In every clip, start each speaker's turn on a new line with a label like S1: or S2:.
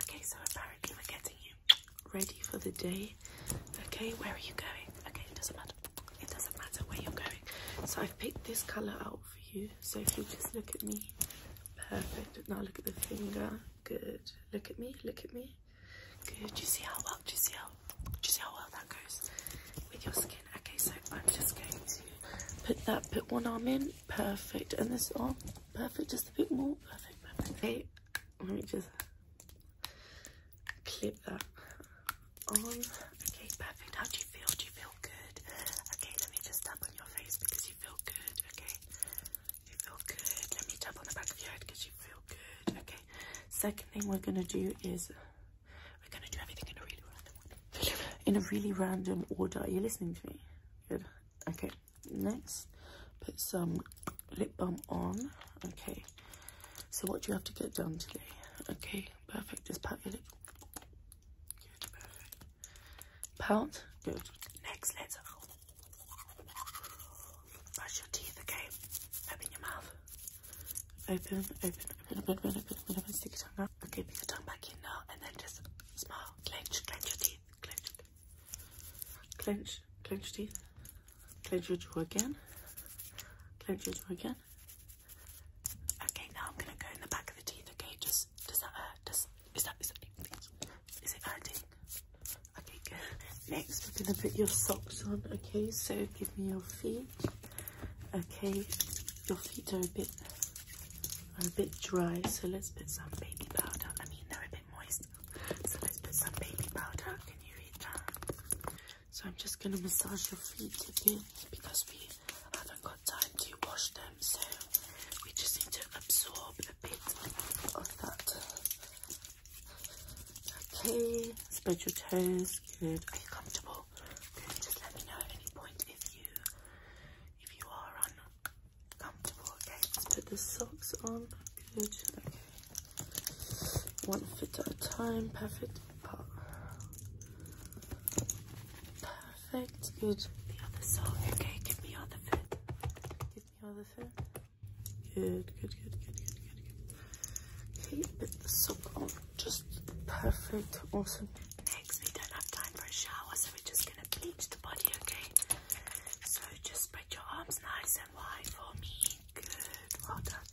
S1: Okay, so apparently we're getting you ready for the day. Okay, where are you going? Okay, it doesn't matter. It doesn't matter where you're going. So I've picked this colour out for you. So if you just look at me. Perfect. Now look at the finger. Good. Look at me. Look at me. Good. Do you see how well? you see how? Do you see how well that goes with your skin? Okay, so I'm just going to put that. Put one arm in perfect. And this arm, oh, perfect, just a bit more. Perfect, perfect. let me just clip that on. Okay, perfect. How do you feel? Do you feel good? Okay, let me just tap on your face because you feel good. Okay, you feel good. Let me tap on the back of your head because you feel good. Okay, second thing we're gonna do is we're gonna do everything in a really random order. In a really random order. Are you listening to me? Good. Okay. Next, put some lip balm on. Okay, so what do you have to get done today? Okay, perfect. Just pat your lip. Good, Good. Next, let's brush your teeth. Okay, open your mouth. Open, open, open, open, open, open, open, Stick your tongue out. Okay, put your tongue back in now, and then just small. Clench, clench your teeth. Clench. Clench, clench teeth. Clench your jaw again. Clench your jaw again. Okay, now I'm gonna go in the back of the teeth. Okay, just does that hurt? Does is that is that is it hurting? Okay, Next, we're gonna put your socks on. Okay, so give me your feet. Okay, your feet are a bit a bit dry, so let's put some baby powder. I mean, they're a bit. So let's put some baby powder. Can you read that? So I'm just gonna massage your feet a because we haven't got time to wash them. So we just need to absorb a bit of that. Okay, spread your toes. Good. Are you comfortable? Just let me know at any point if you if you are or comfortable. Okay, let's put the socks on. Good. Okay. One foot at a time. Perfect. Perfect. Good. The other sock. Okay, give me other foot. Give me other foot. Good, good, good, good, good, good, good. Okay, put the sock on. Just perfect. Awesome. Next, we don't have time for a shower, so we're just gonna bleach the body, okay? So just spread your arms nice and wide for me. Good, well done.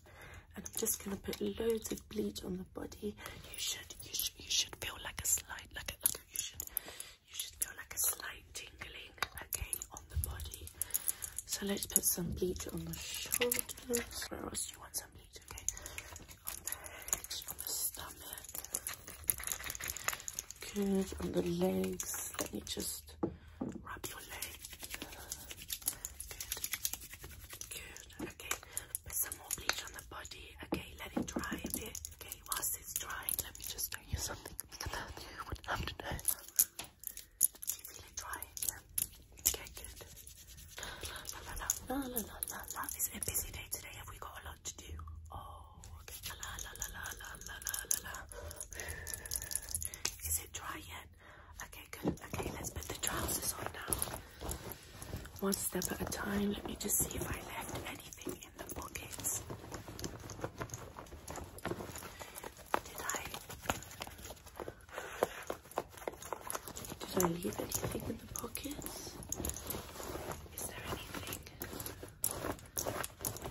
S1: And I'm just gonna put loads of bleach on the body. You should, you should, you should feel like a slight, like a, you should, you should feel like a slight tingling, okay, on the body. So let's put some bleach on the shoulders. Where else you want some bleach? Okay, on the head, on the stomach, curve on the legs. Let me just rub your leg. Good. Good. Okay. Put some more bleach on the body. Okay, let it dry a bit. Okay, whilst it's drying, let me just tell you something that have to Do you feel it drying? Yeah. Okay, good. La la la la la la Is a busy day today? Have we got a lot to do? Oh. Is it dry yet? Okay, good. Okay, let's put the trousers on now. One step at a time. Let me just see if I left anything in the pockets. Did I? Did I leave anything in the pockets? Is there anything?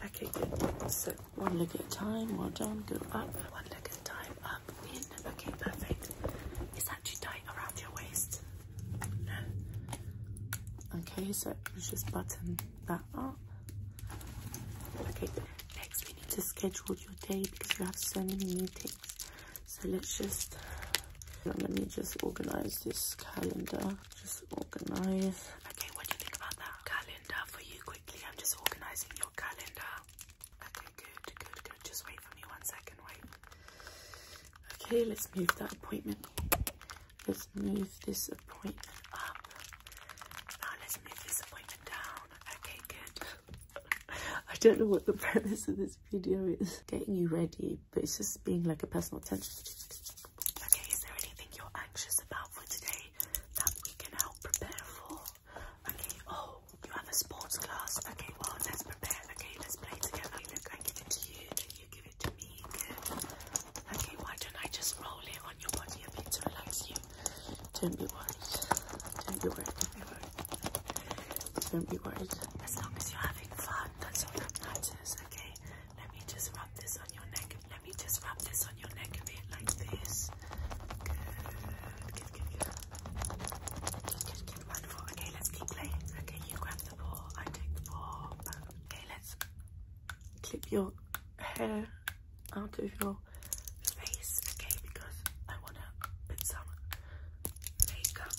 S1: Okay, good. So one leg at a time, well done, go up. One leg at a time, up, in. Okay, perfect. Is that too tight around your waist? No. Okay, so let's just button that up. Okay, next we need to schedule your day because you have so many meetings. So let's just, let me just organize this calendar just organize. Okay, what do you think about that? Calendar for you quickly. I'm just organizing your calendar. Okay, good, good, good. Just wait for me one second, wait. Okay, let's move that appointment. Let's move this appointment up. Now let's move this appointment down. Okay, good. I don't know what the premise of this video is. Getting you ready but it's just being like a personal tension. Okay, is there anything you're anxious about for today that we can help prepare for? Okay, oh, you have a sports class. Okay, well, let's prepare. Okay, let's play together. Look, I give it to you, then you give it to me. Okay, why don't I just roll it on your body a bit to relax you? be worried. Don't be worried. Don't be worried. Don't be worried. As long as you're having fun, that's all that matters, okay? Let me just rub this on your neck. Let me just rub this on your neck a bit like this. Good, good, good, good. Good, good, wonderful. Okay, let's keep playing. Okay, you grab the ball, I take the ball. Okay, let's clip your hair out of your face, okay, because I want to put some makeup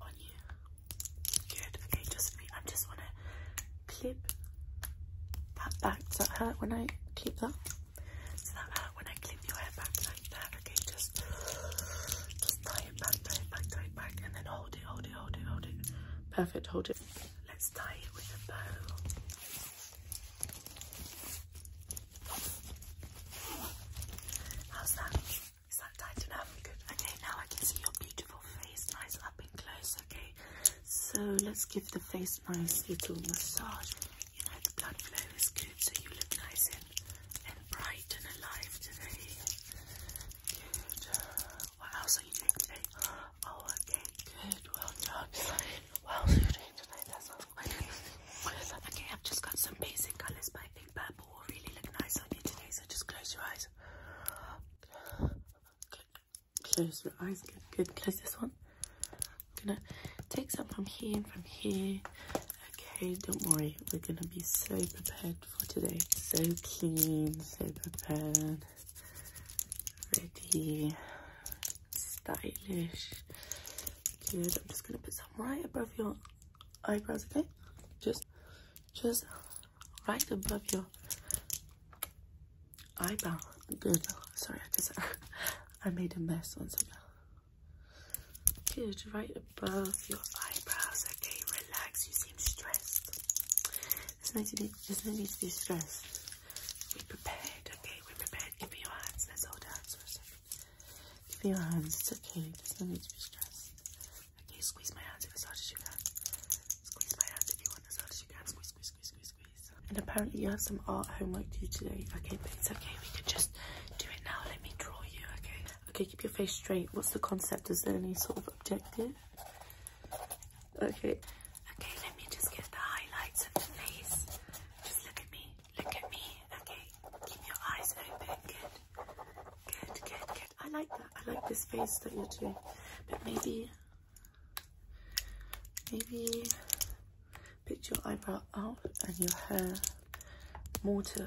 S1: on you. Good. Okay, just I just want to clip that back. Does that hurt when I clip that? Does that hurt when I clip your hair back like that? Okay, just just tie it back, tie it back, tie it back, and then hold it, hold it, hold it, hold it. Perfect. Hold it. Let's tie it with a bow. How's that? Is that tight enough? Good. Okay, now I can see your beautiful face nice up and close. Okay, so let's give the face nice little massage. You know, the blood flow is good, so you look nice and, and bright and alive today. Good. What else are you doing today? Oh, okay, good. Well done. What else are you doing today? That's all. Okay, I've just got some basic colors, but I think purple will really look nice on you today, so just close your eyes. Close your eyes. Good, good. Close this one. I'm gonna take some from here and from here. Okay, don't worry. We're gonna be so prepared for today. So clean, so prepared, ready, stylish. Good. I'm just gonna put some right above your eyebrows. Okay, just just right above your eyebrow. Good. Sorry, I just I made a mess once again. Good, right above your eyebrows. Okay, relax. You seem stressed. There's no need. There's no need to be stressed. Be prepared. Okay, we're prepared. Give me your hands. Let's hold hands for a second. Give me your hands. It's okay. There's no need to be stressed. Can you squeeze my hands as hard as you can? Squeeze my hands if you want as hard as you can. Squeeze, squeeze, squeeze, squeeze, squeeze. And apparently you have some art homework to do today. Okay, but it's okay. We can just do it now. Let me draw you, okay? Okay, keep your face straight. What's the concept? Is there any sort of objective? Okay. Okay, let me just get the highlights of the face. Just look at me. Look at me. Okay. Keep your eyes open. Good. Good, good, good. I like that. I like this face that you're doing. But maybe, maybe pick your eyebrow out and your hair more to,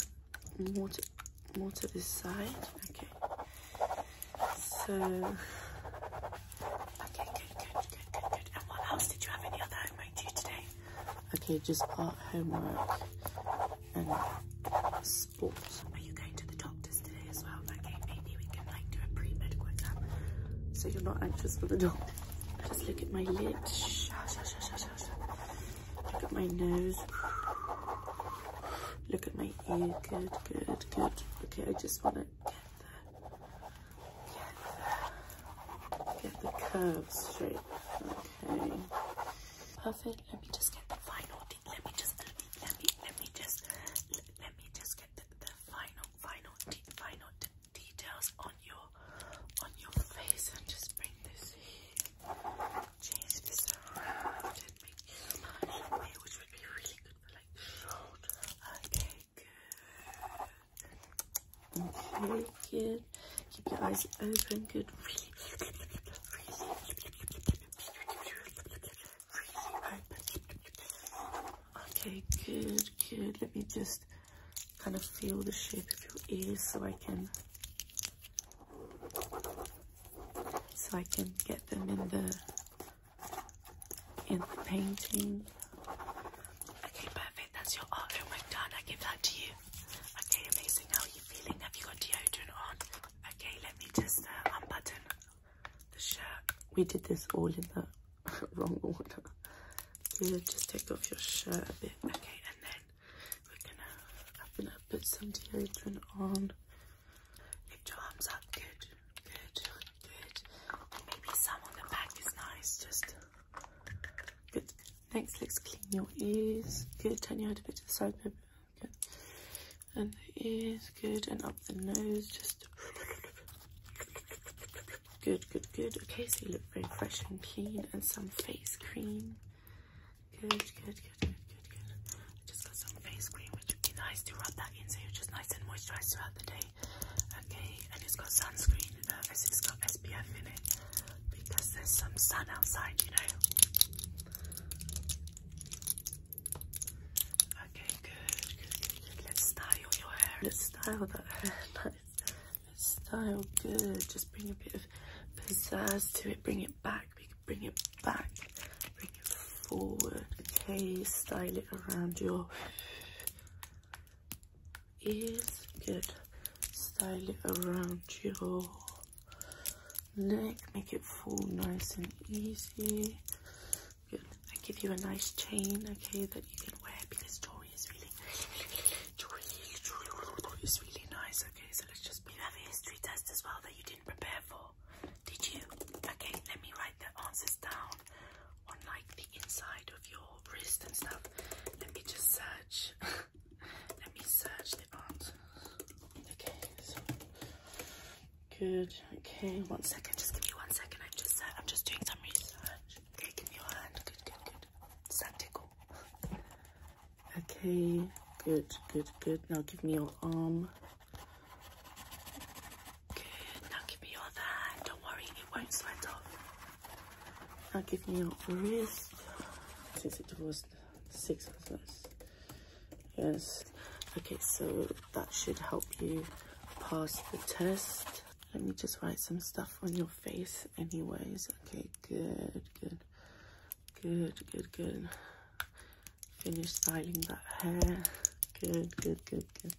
S1: more to, more to this side. Okay. So, okay, good, good, good, good, good. And what else did you have any other homework due today? Okay, just art homework and are you going to the doctor's today as well? Okay, maybe we can like do a pre-medical exam. So you're not anxious for the dog. Just look at my lips. look at my nose. Look at my ear. Good, good, good. Okay, I just want to get the, get the, get the curves straight. Okay. Perfect. Let me just get the final let me just let me let me let me just let, me just get the, final final final details on your on your face and just bring this here. Change this around and make it smile which would be really good for like shoulder. Okay, good. Okay, good. Keep your eyes open, good. Okay, good, good. Let me just kind of feel the shape of your ears so I can so I can get them in the in the painting. Okay, perfect. That's your art homework oh done. I give that to you. Okay, amazing. How are you feeling? Have you got deodorant on? Okay, let me just uh, unbutton the shirt. We did this all in the wrong order. We'll just take off your shirt a bit. Okay, and then we're gonna, I'm gonna put some deodorant on. Lift your arms up. Good, good, good. And maybe some on the back is nice. Just good. Next, let's clean your ears. Good. Turn your head a bit to the side. Good. And the ears, good. And up the nose, just good, good, good. Okay, so you look very fresh and clean. And some face cream. Good, good, good, good, good, good. I just got some face cream, which would be nice to rub that in, so you're just nice and moisturized throughout the day. Okay, and it's got sunscreen uh, as it's got SPF in it because there's some sun outside, you know. Okay, good, Let's style your hair. Let's style that hair. Let's style good. Just bring a bit of pizzazz to it. Bring it back. We can bring it back. Bring it forward. Okay, style it around your ears. Good. Style it around your neck, make it fall nice and easy. Good. I give you a nice chain, okay, that you can wear because jewelry is really, jewelry, is really nice, okay. So let's just. You have a history test as well that you didn't prepare for, did you? Okay, let me write the answers down on like the inside of your wrist and stuff. Let me just search. Let me search the answers. Okay, good. Okay, one second. Just give me one second. I'm just uh, I'm just doing some research. Okay, give me your hand. Good, good, good. Does that tickle? Okay, good, good, good. Now give me your arm. Good. Now give me your hand. Don't worry, it won't sweat off. Now give me your wrist. Since it was six of us. Yes. Okay, so that should help you pass the test. Let me just write some stuff on your face anyways. Okay, good, good, good, good, good. Finish styling that hair. Good, good, good, good.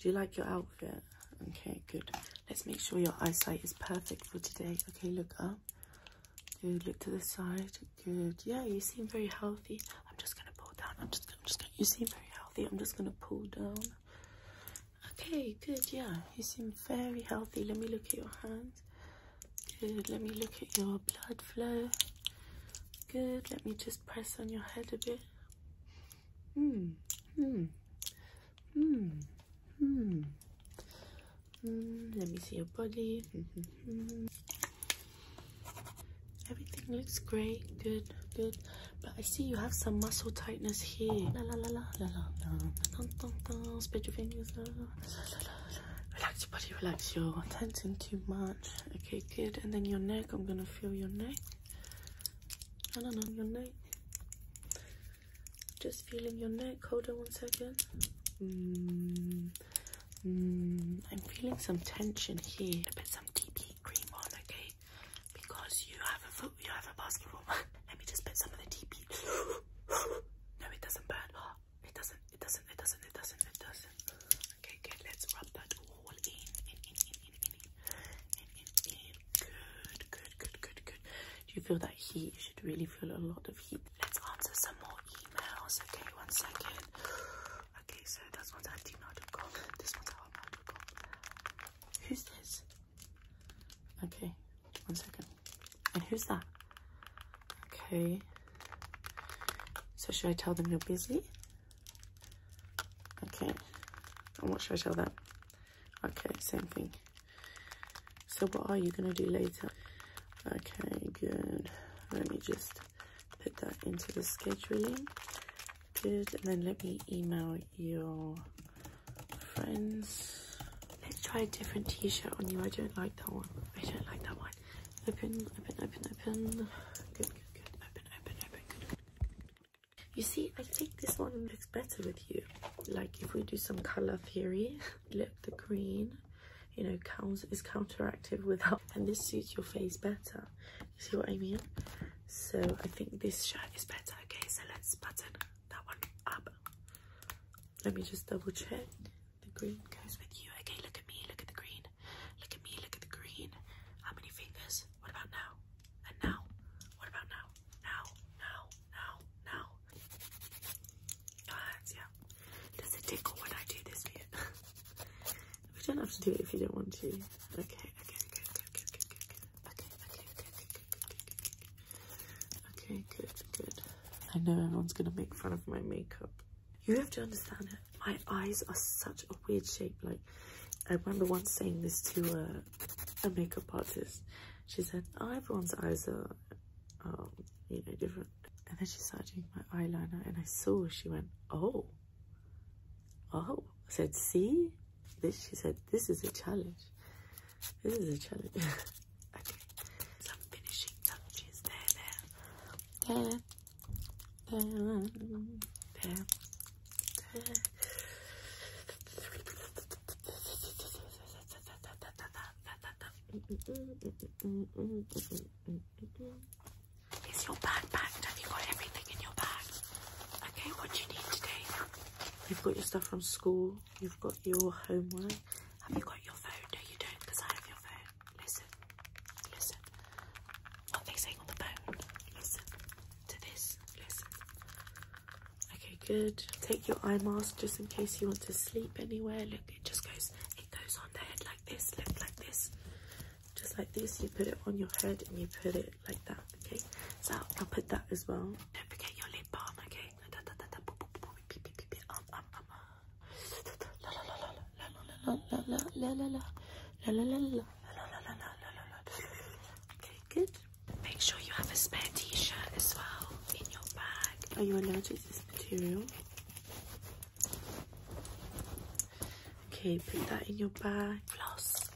S1: Do you like your outfit? Okay, good. Let's make sure your eyesight is perfect for today. Okay, look up. Good. Look to the side. Good. Yeah, you seem very healthy. I'm just gonna pull down. I'm just. I'm just gonna. You seem very healthy. I'm just gonna pull down. Okay. Good. Yeah. You seem very healthy. Let me look at your hands. Good. Let me look at your blood flow. Good. Let me just press on your head a bit. Hmm. Hmm. Hmm. Hmm. let me see your body. Everything looks great. Good, good. But I see you have some muscle tightness here. La your fingers. relax your body. Relax. your are tensing too much. Okay, good. And then your neck. I'm gonna feel your neck. No, no, no, your neck. Just feeling your neck. Hold on one second. Mm, mm, I'm feeling some tension here. Put some deep heat cream on, okay? Because you have a foot, you have a basketball. Let me just put some of the deep heat. no, it doesn't burn. It doesn't. It doesn't. It doesn't. It doesn't. It doesn't. Okay, good. Let's rub that all in, in, in, in, in, in, in, in, in. Good, good, good, good, good. Do you feel that heat? You should really feel a lot of heat. Let's answer some more emails. Okay, one second. Okay, so this one's at gmail.com. This one's at gmail.com. Who's this? Okay, one second. And who's that? Okay. So should I tell them you're busy? Okay. And what should I tell them? Okay, same thing. So what are you going to do later? Okay, good. Let me just put that into the scheduling. Good. And then let me email your friends. Let's try a different t-shirt on you. I don't like that one. I don't like that one. Open, open, open, open. Good, good, good. Open, open, open. Good, You see, I think this one looks better with you. Like if we do some color theory. look the green you know counts is counteracted without and this suits your face better you see what i mean so i think this shirt is better okay so let's button that one up let me just double check the green goes with you okay look at me look at the green look at me look at the green how many fingers what about now and now what about now now now now now does it tickle when I do this we don't have to do it if you don't want to. Okay, okay, okay, okay, okay, okay, okay, okay, okay, okay, okay, okay, okay, okay, good, good. I know everyone's gonna make fun of my makeup. You have to understand it. My eyes are such a weird shape. Like, I remember once saying this to a, a makeup artist. She said, oh, everyone's eyes are, are you know, different. And then she started doing my eyeliner and I saw she went, oh, oh. I said, see? This, she said, this is a challenge. This is a challenge. okay, is your bag Have you got everything in your bag? Okay, what do you need today? You've got your stuff from school, you've got your homework. Have you got your phone? No, you don't, because I have your phone. Listen, listen. What they saying on the phone? Listen to this, listen. Okay, good. Take your eye mask just in case you want to sleep anywhere. Look, it just goes, it goes on the head like this, look like this. Just like this, you put it on your head and you put it like that, okay? So I'll put that as well. Don't forget your lip balm, okay? Okay, good. Make sure you have a spare t-shirt as well in your bag are you allergic to this material? Okay, put that in your bag. Floss.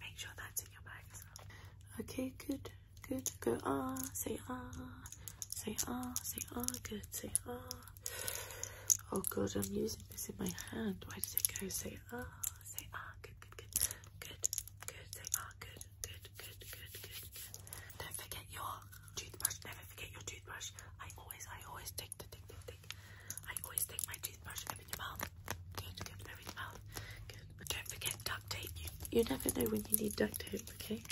S1: Make sure that's in your bag as well. Okay, good, good. Go ah, say ah, say ah, say ah, good, say ah. Oh god, I'm using this in my hand. Why does it go? Say ah, say ah, good, good, good, good, good, say ah, good, good, good, good, good, Don't forget your toothbrush. Never forget your toothbrush. I always, I always take the tick, tick, I always take my toothbrush. Open your mouth. Good, good, open mouth. Good. Don't forget duct tape. You, you never know when you need duct tape, okay?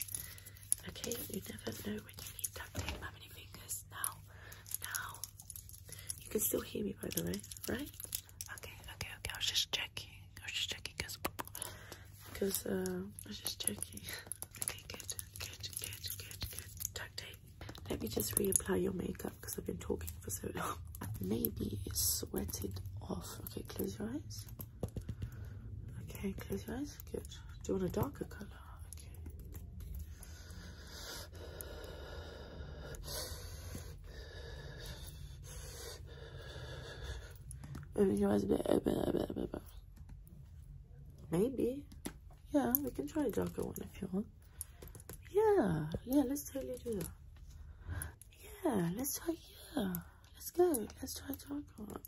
S1: Okay, you never know when you need duct tape. How many fingers? Now, now. You can still hear me, by the way, right? Okay, okay, okay. I was just checking. I was just checking because, because uh, I was just checking. Okay, good, good, good, good, good. Tuck tape. Let me just reapply your makeup because I've been talking for so long. Maybe it's sweated off. Okay, close your eyes. Okay, close your eyes. Good. Do you want a darker color? Okay. Maybe. Yeah, we can try a darker one if you want. Yeah, yeah, let's totally do that. Yeah, let's try, yeah. Let's go, let's try darker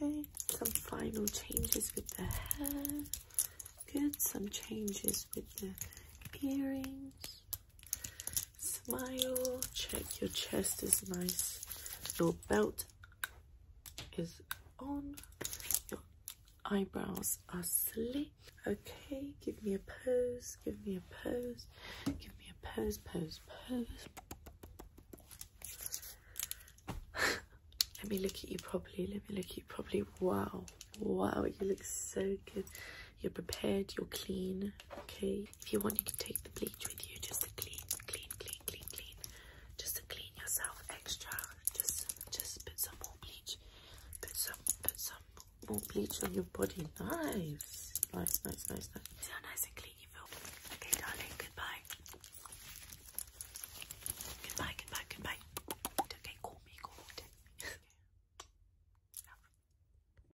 S1: Okay, some final changes with the hair. Good, some changes with the earrings. Smile, check your chest is nice. Your belt is on. Your eyebrows are slick. Okay, give me a pose, give me a pose, give me a pose, pose, pose. Let me look at you properly. Let me look at you properly. Wow. Wow, you look so good you're prepared, you're clean, okay? If you want, you can take the bleach with you just to clean, clean, clean, clean, clean. Just to clean yourself extra. Just just put some more bleach. Put some put some more bleach on your body. Nice. Nice, nice, nice, nice. See how nice and clean you feel. Okay, darling, goodbye. Goodbye, goodbye, goodbye. Okay, call me, call me.